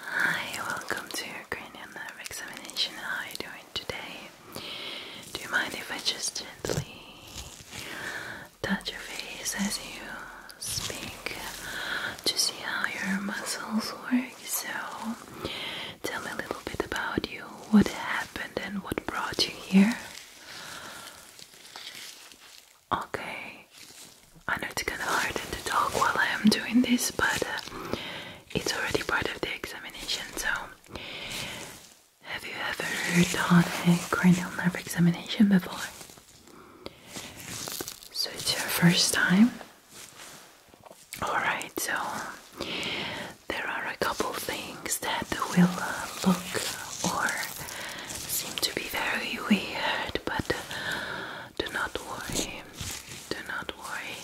Hi, welcome to your cranial examination. How are you doing today? Do you mind if I just gently touch your face as you speak to see how your muscles work? So, tell me a little bit about you, what happened, and what brought you here. Okay, I know it's kind of hard to talk while I am doing this, but uh, it's already part of the examination. So, have you ever done a cranial nerve examination before? So, it's your first time? Alright, so there are a couple things that will look or seem to be very weird, but uh, do not worry. Do not worry.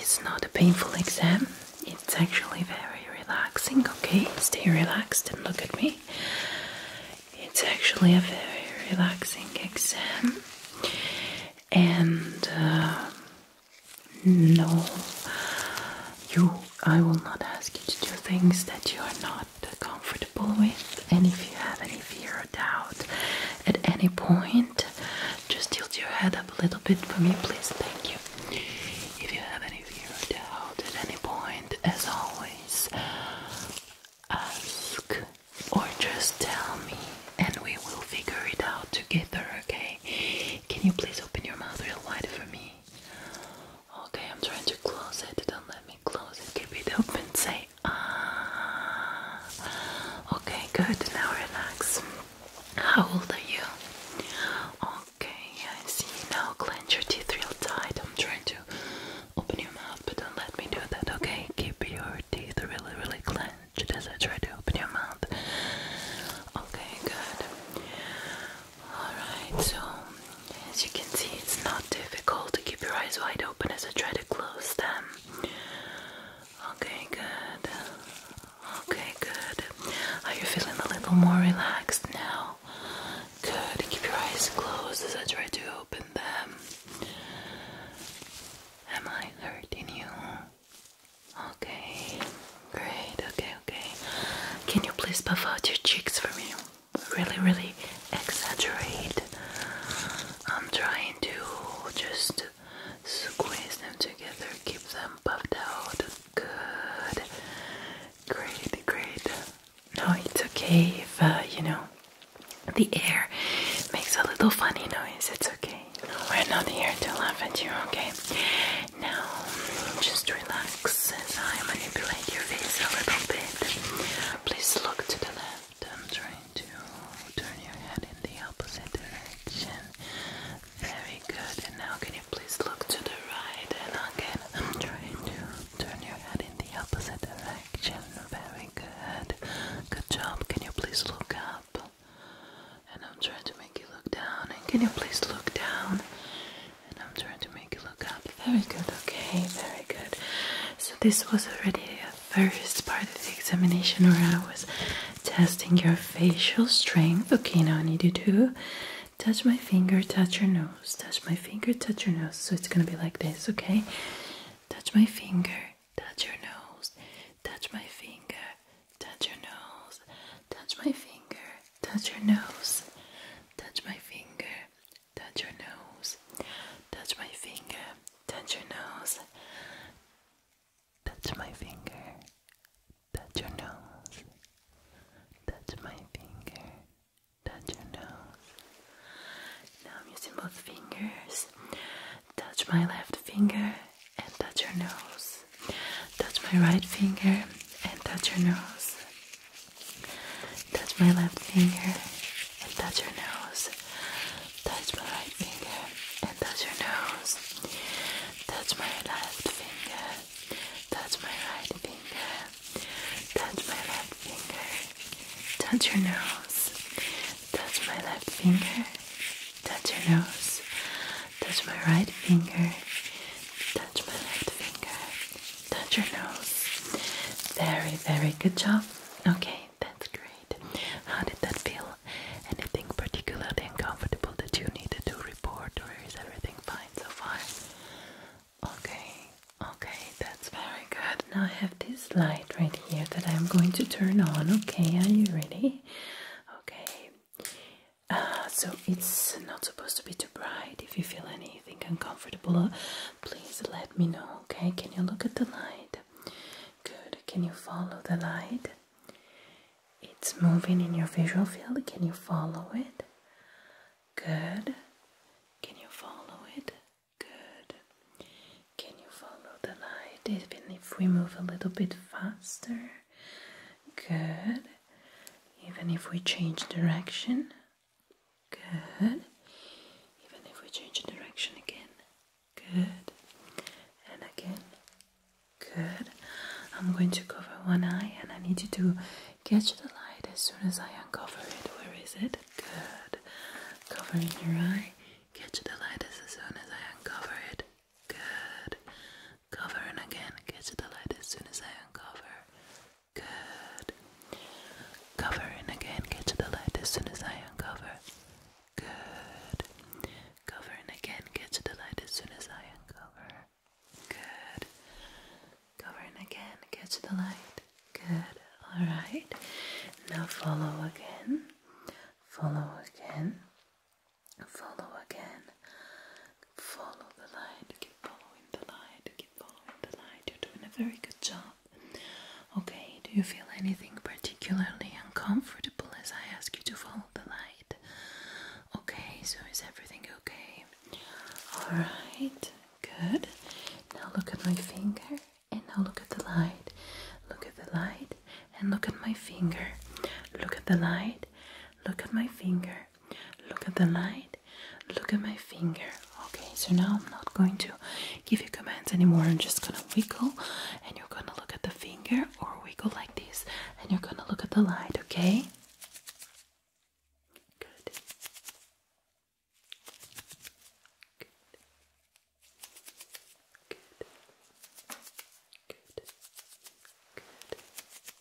It's not a painful exam. It's actually very relaxing. Okay, stay relaxed and look at me. It's actually a very relaxing exam, and uh, no, you. I will not ask you to do things that you are not not comfortable with. And if you have any fear or doubt at any point, just tilt your head up a little bit for me, please. Thank you. If you have any fear or doubt at any point, as always, ask or just tell me and we will figure it out together, okay? Can you please open your mouth real wide for me? Okay, I'm trying to close it. Don't let me close it. Keep it open. Say ah. Okay, good. Now relax. How old are you? Okay, I see. Now clench your teeth real tight. I'm trying to open your mouth, but don't let me do that. Okay, keep your teeth really, really clenched as I try to open your mouth. Okay, good. Alright, so as you can see, it's not difficult to keep your eyes wide open as I try to close them. Okay, good. Okay, good. Are you feeling a little more relaxed now? Good. Keep your eyes closed as I try to open them. Am I hurting you? Okay, great. Okay, okay. Can you please puff out your cheeks for me? really, really exaggerate. I'm trying to just squeeze them together, keep them puffed out. Good, great, great. No, it's okay if uh, you know the air makes a little funny noise. It's okay. we're not here to laugh at you, okay? Now, just relax relax as I manipulate your face a little bit. Please look to the left. I'm trying to turn your head in the opposite direction. Very good. And now can you please look to the right? And again, I'm trying to turn your head in the opposite direction. Very good. Good job. Can you please look up? And I'm trying to make you look down. And can you please look down? and I'm trying to make it look up. Very good, okay, very good. So, this was already the first part of the examination where I was testing your facial strength. Okay, now I need you to touch my finger, touch your nose, touch my finger, touch your nose. So, it's gonna be like this, okay? Touch my finger, touch your nose, touch my finger, touch your nose, touch my finger, touch your nose, touch my finger, touch your nose, touch my finger, touch your nose, touch my finger, touch your nose, touch my finger, touch your nose. Now I'm using both fingers. Touch my left finger and touch your nose. Touch my right finger and touch your nose. Touch my left finger and touch your nose. Touch my right finger and touch your nose. Touch my left finger. Touch my right finger. Touch my left finger. Touch your nose. Touch my left finger. Touch your nose. Touch my right finger. Touch my left finger touch your nose. Very, very good job. Okay, that's great. How did that feel? Anything particularly uncomfortable that you needed to report, or is everything fine so far? Okay, okay, that's very good. Now I have this light right here that I'm going to turn on. Okay, are you ready? Okay. Uh, so it's not supposed to be too bright. If you feel any anything uncomfortable, uh, please let me know, okay? Can you look at the light? Good. Can you follow the light? It's moving in your visual field. Can you follow it? Good. Can you follow it? Good. Can you follow the light? Even if we move a little bit faster? Good. Even if we change direction? Good. Even if we change direction again. Good. And again. Good. I'm going to cover one eye and I need you to catch the light as soon as I uncover it. Where is it? Good. Covering your eye. Catch the light as soon as I uncover it. Good. Covering again. Catch the light as soon as I uncover. Good. Cover and again get to the light as soon as I uncover. Good. Cover and again get to the light as soon as I uncover. Good. Cover and again get to the light. Good. Alright. Now follow again. Follow again. Follow again. Follow the light, keep following the light, keep following the light. You're doing a very good job. Okay, do you feel anything particularly uncomfortable as I ask you to follow the light? Okay, so is everything okay? Alright, good. Now look at my finger and now look at the light. Look at the light and look at my finger. Look at the light, look at my finger. Look at the light Look at my finger. Okay, so now I'm not going to give you commands anymore. I'm just gonna wiggle and you're gonna look at the finger or wiggle like this and you're gonna look at the light, okay? Good. Good. Good. Good.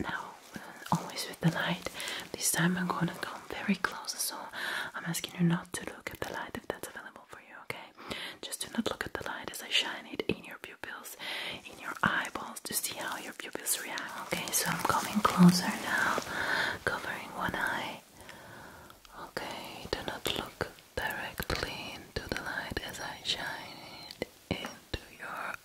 Now, uh, always with the light, this time I'm gonna come very close, so I'm asking you not to look at the light if that's available for you, okay? Just do not look at the light as I shine it in your pupils, in your eyeballs to see how your pupils react, okay? So I'm coming closer now, covering one eye. Okay, do not look directly into the light as I shine it into your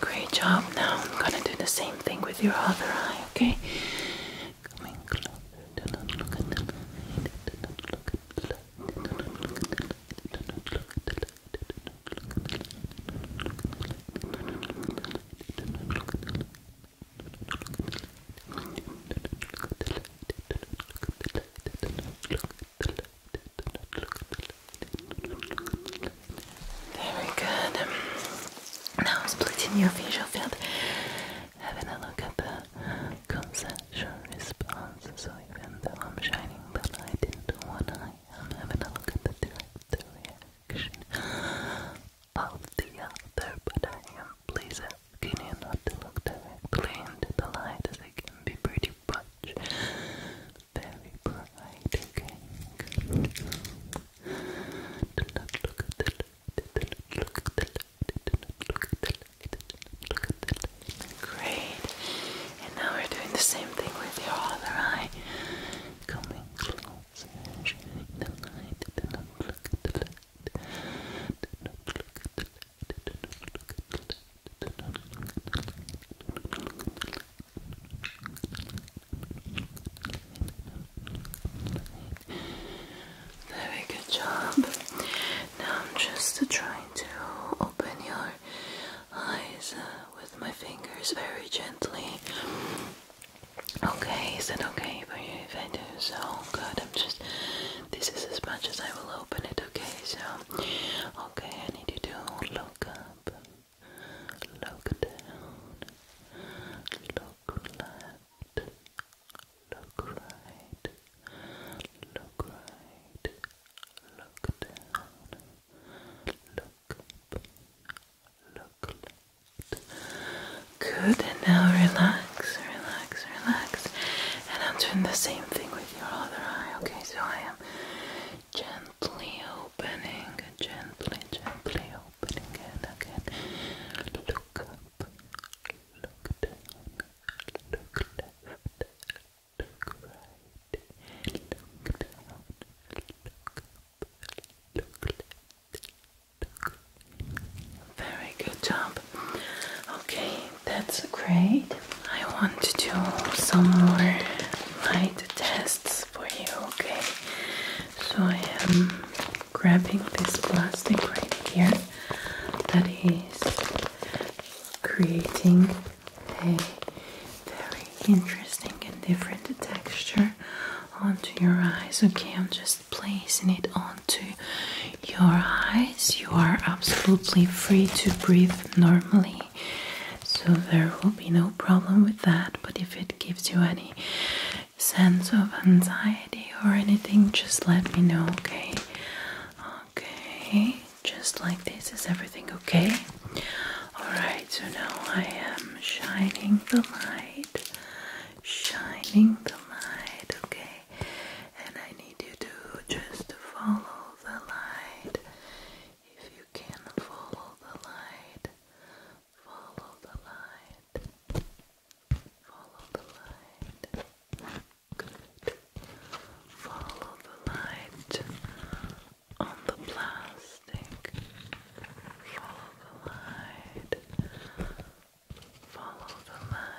Great job. Now I'm gonna do the same thing with your other eye, okay? Very good. Now splitting your visual field, having a look at the conceptual response. So even though I'm shining the light into one eye, I'm having a look at the direct reaction of the other, but I am pleased continue not to look directly into the light as can be pretty much very bright, okay? Good. not look at the light, do not look at the light, do not look at the light, do not look at the Great. And now we're doing the same thing with your other eye. Coming close, and shining the light, do not look at the light. Do not look at the light, do not look at the very good job. Now I'm just trying to open your eyes uh, with my fingers very gently. Okay, is that okay for you if I do so? Good, I'm just. This is as much as I will open it okay? So, okay, I need you to look up, look down, look left, look right, look right, look down, look up, look left. Good, and now relax, relax, relax. And I'm doing the same thing with with your other eye. Okay, so I am gently opening, gently, gently opening it again. Look up, look down, look left, look right, look down, look up, look left, look right. Very good job. Okay, that's great. I want to do some more light tests for you, okay? So I am grabbing this plastic right here that is creating a very interesting and different texture onto your eyes. Okay, I'm just placing it on to your eyes. You are absolutely free to breathe normally, so there will be no problem with that. But if it gives you any sense of anxiety or anything, just let me know, okay? Okay, just like this. Is everything okay? Alright, so now I am shining the light. Shining the light, okay? and I need you to just follow the light. If you can follow the light, follow the light, follow the light. Good. Follow the light on the plastic. Follow the light. Follow the light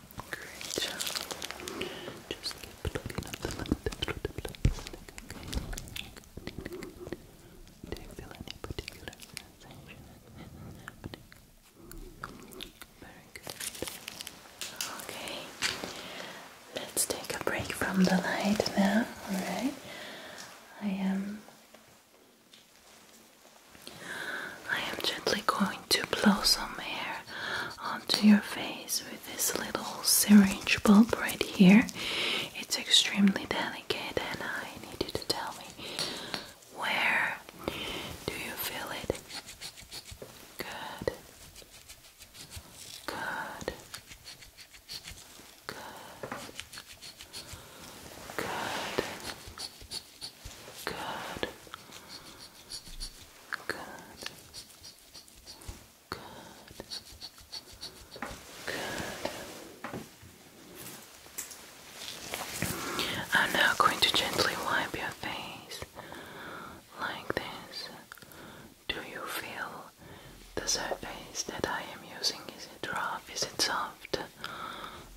Great job. Just keep looking at the light. Do you feel any particular sensation happening? Very good. Okay. Let's take a break from the light now, alright? I am I am gently going to blow some air onto your face with this little syringe bulb right here. It's extremely delicate, and I need you to tell me where do you feel it? Good. Good. Good. Good. Good. Good. Good. Good. I'm now going to gently wipe your face like this. Do you feel the surface that I am using? Is it rough? Is it soft?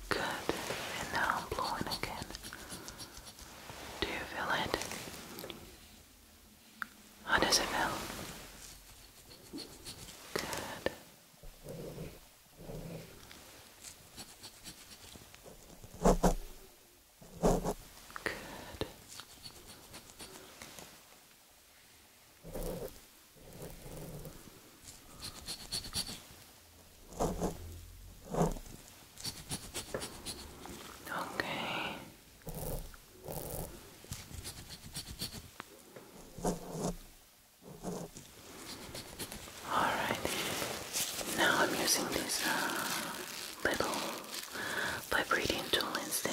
Good. And now I'm blowing again. Do you feel it? How does it feel? Good. Good. Okay. Alrighty. Now I'm using this uh, little vibrating tool instead.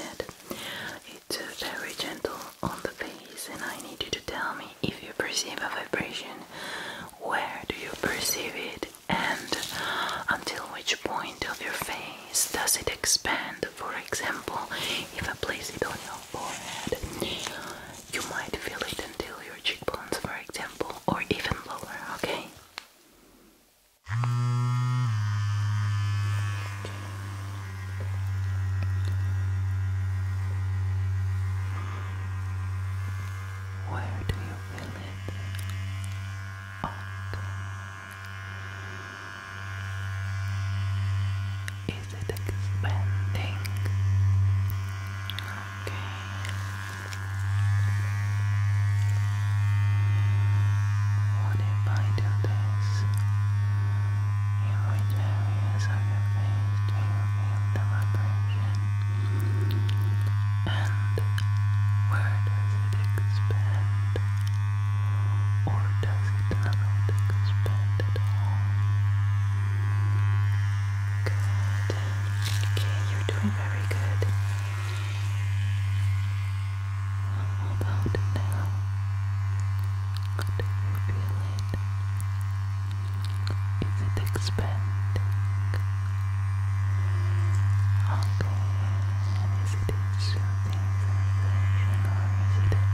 It's uh, very gentle on the face, and I need you to tell me if you perceive a vibration. Where do you perceive it? and until which point of your face does it expand. For example, if I place it on your forehead, you might feel it until your cheekbones, for example, or even lower, okay? Where do you Philip Ogden. Is it expanding? Okay. What if I do this? In which areas of your face do you feel the vibration? And where does it expand? Or does it not expand at all? Good. Okay, you're doing very good. How about now? Do feel it? Is it expanding? Okay, and is it soothing sensation is it an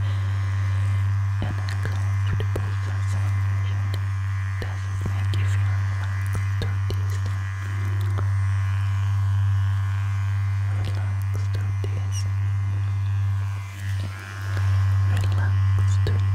Does it make you feel relaxed or distant? Relaxed or distant? Relaxed or distant?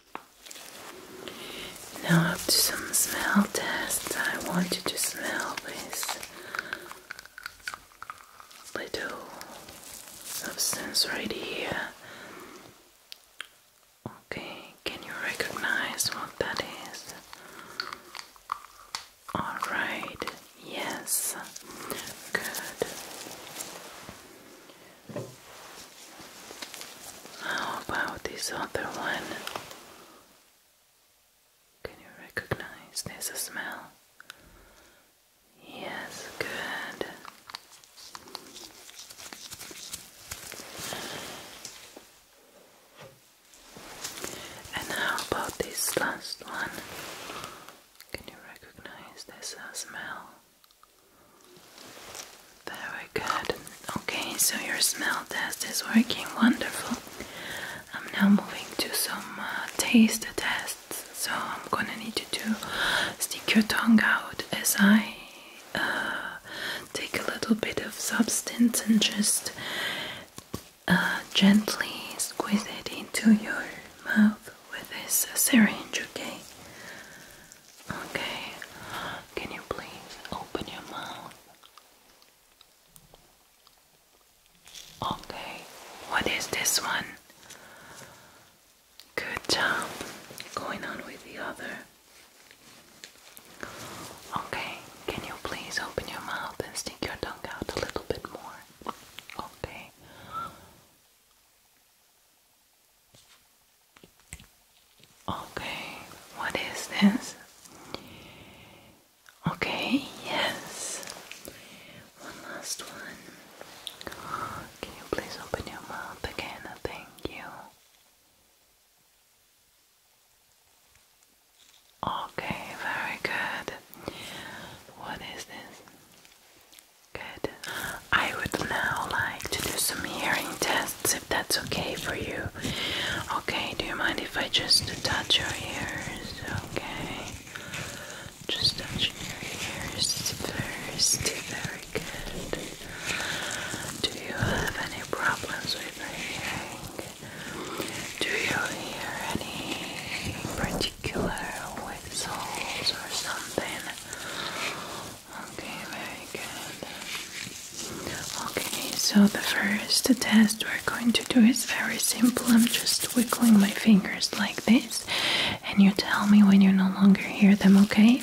Now, up to some smell tests. I want you to smell this little substance right here. Okay, can you recognize what that is? Alright, yes, good. How about this other one? Can you recognize this smell? Yes, good. And how about this last one? Can you recognize this smell? Very good. Okay, so your smell test is working wonderful. I'm now moving to some uh, taste tests. So I'm gonna need to do stick your tongue out as I uh, take a little bit of substance and just uh, gently squeeze it into your mouth with this syringe, okay? Okay, can you please open your mouth? Okay, what is this one? Good job. Going on with the other. Okay, can you please open your mouth and stick your tongue out a little bit more? Okay. Okay, what is this? Okay, yes. One last one. Can you please open your mouth again? Thank you. Okay, very good. What is this? Good. I would now like to do some hearing tests if that's okay for you. Okay, do you mind if I just touch your ears? Okay. Just touch your ears first. Very good. Do you have any problems with your hearing? Do you hear any particular whistles or something? Okay, very good. Okay, so the first test we're going to do is very simple. I'm just wiggling my fingers like this, and you tell me when you no longer hear them, okay? Okay,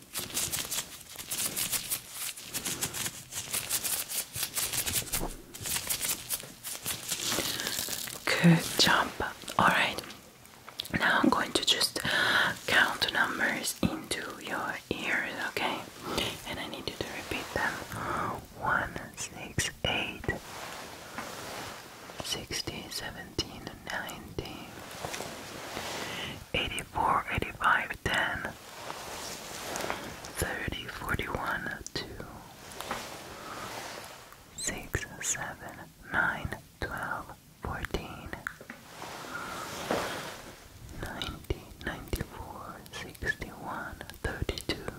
Good job. Alright, now I'm going to just count numbers into your ears, okay? And I need you to repeat them 1, 17, 90, 84, 85, 10, thirty forty one two six seven nine twelve fourteen ninety ninety four sixty one thirty two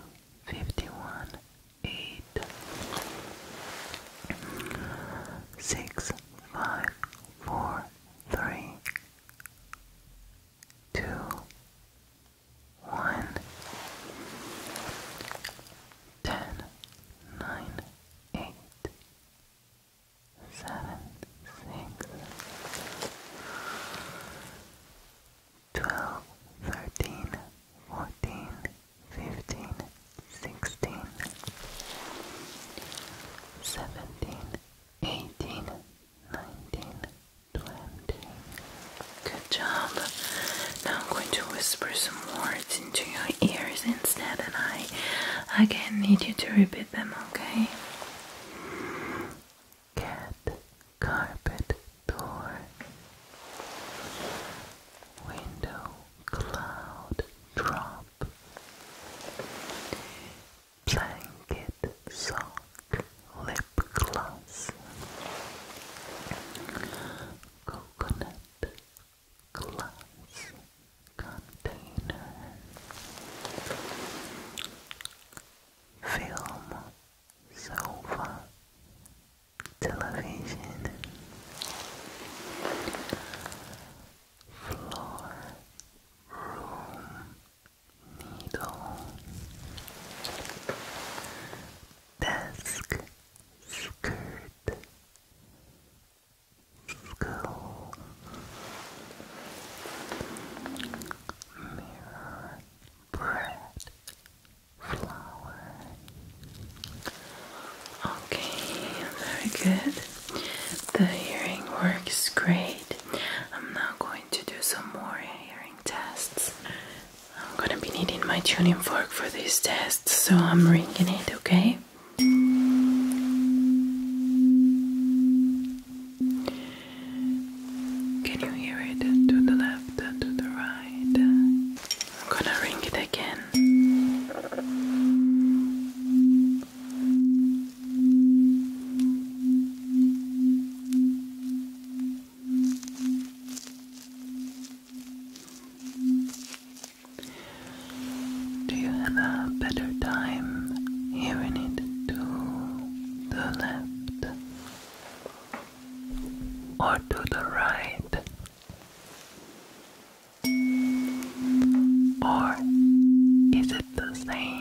fifty one eight six five four three two, one, ten, nine, eight, seven, six, twelve, thirteen, fourteen, fifteen, sixteen, seventeen eighteen, nineteen, twenty. Good job. Now I'm going to whisper some words into your ears instead, and I again need you to repeat them, okay? Cat, carpet, door, window, cloud, drop. Blanket sock, Lip Gloss Coconut Glass Container Film Sofa Television Floor Room needle, desk, skirt, skull, mirror, bread, flower. Okay, very good. The hearing works great. I'm now going to do some more hearing tests. I'm gonna be needing my tuning fork for these tests, so I'm ringing it, okay? Can you hear it? To the left, to the right. I'm gonna ring it again. Do you have a better time hearing it to the left or to the right or is the same?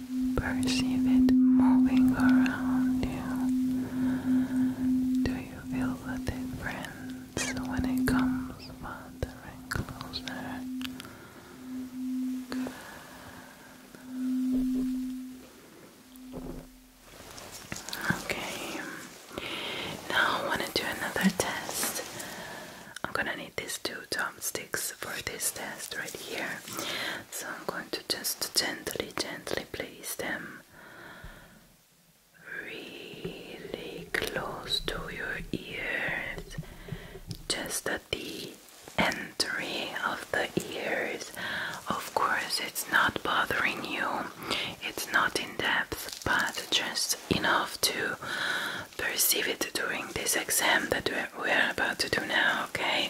perceive it moving around you? Do you feel with it, when it comes farther and closer? Okay, now I want to do another test. I'm gonna need these two thumbsticks for this test right here. So I'm going to just gently, gently place them really close to your ears, just at the entry of the ears. Of course, it's not bothering you, it's not in depth, but just enough to perceive it during this exam that we're about to do now, okay?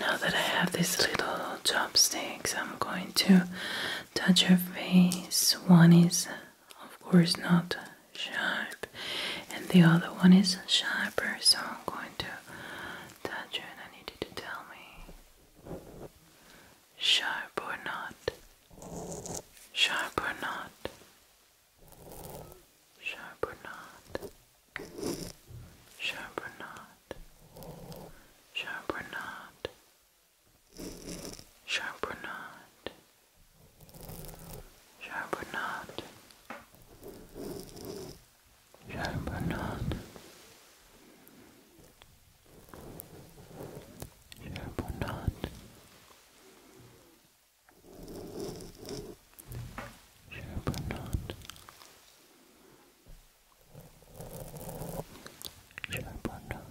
Now that I have these little chopsticks, I'm going to touch your face. One is, of course, not sharp, and the other one is sharper, so I'm going to touch you, and I need you to tell me sharp or not. Sharp or not? Sharp or not? Sharp or not? Sharp or not? Sharp or not? Sharp or not? Sharp or not? Sharp or not? Sure, but not. Sure, but not.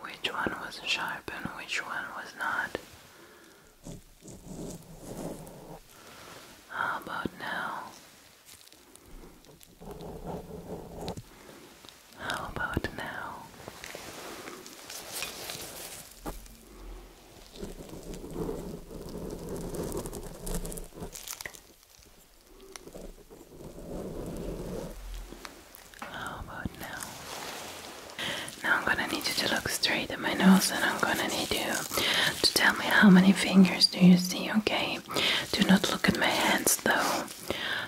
Which one was sharp and which one was not? How about now? How about now? How about now? Now I'm gonna need you to look straight at my nose and I'm gonna need you to tell me how many fingers do you see, okay? Do not look at my hands though.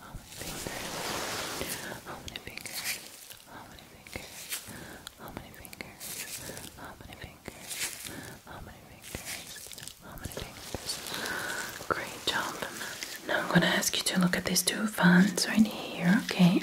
How many fingers? How many fingers? How many fingers? How many fingers? How many fingers? How many fingers? How many fingers? Great job. Now I'm gonna ask you to look at these two fans right here, okay?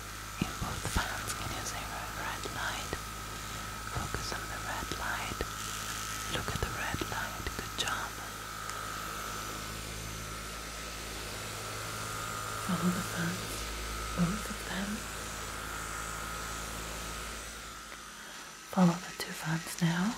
in both fans can you red light? Focus on the red light. Look at the red light. Good job. Follow the fans. Both of them. Follow the two fans now.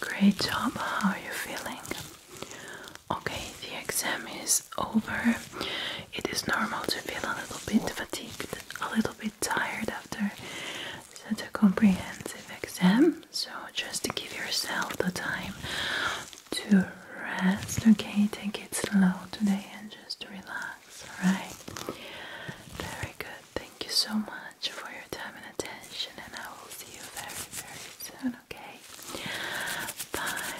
Great job, how are you feeling? Okay, the exam is over. It is normal to feel a little bit fatigued, a little bit tired after such a comprehensive exam, so just to give yourself the time to rest, okay? Take it slow today and just relax, alright? Very good. Thank you so much for your time and attention, and I will see you very, very soon, okay? Bye.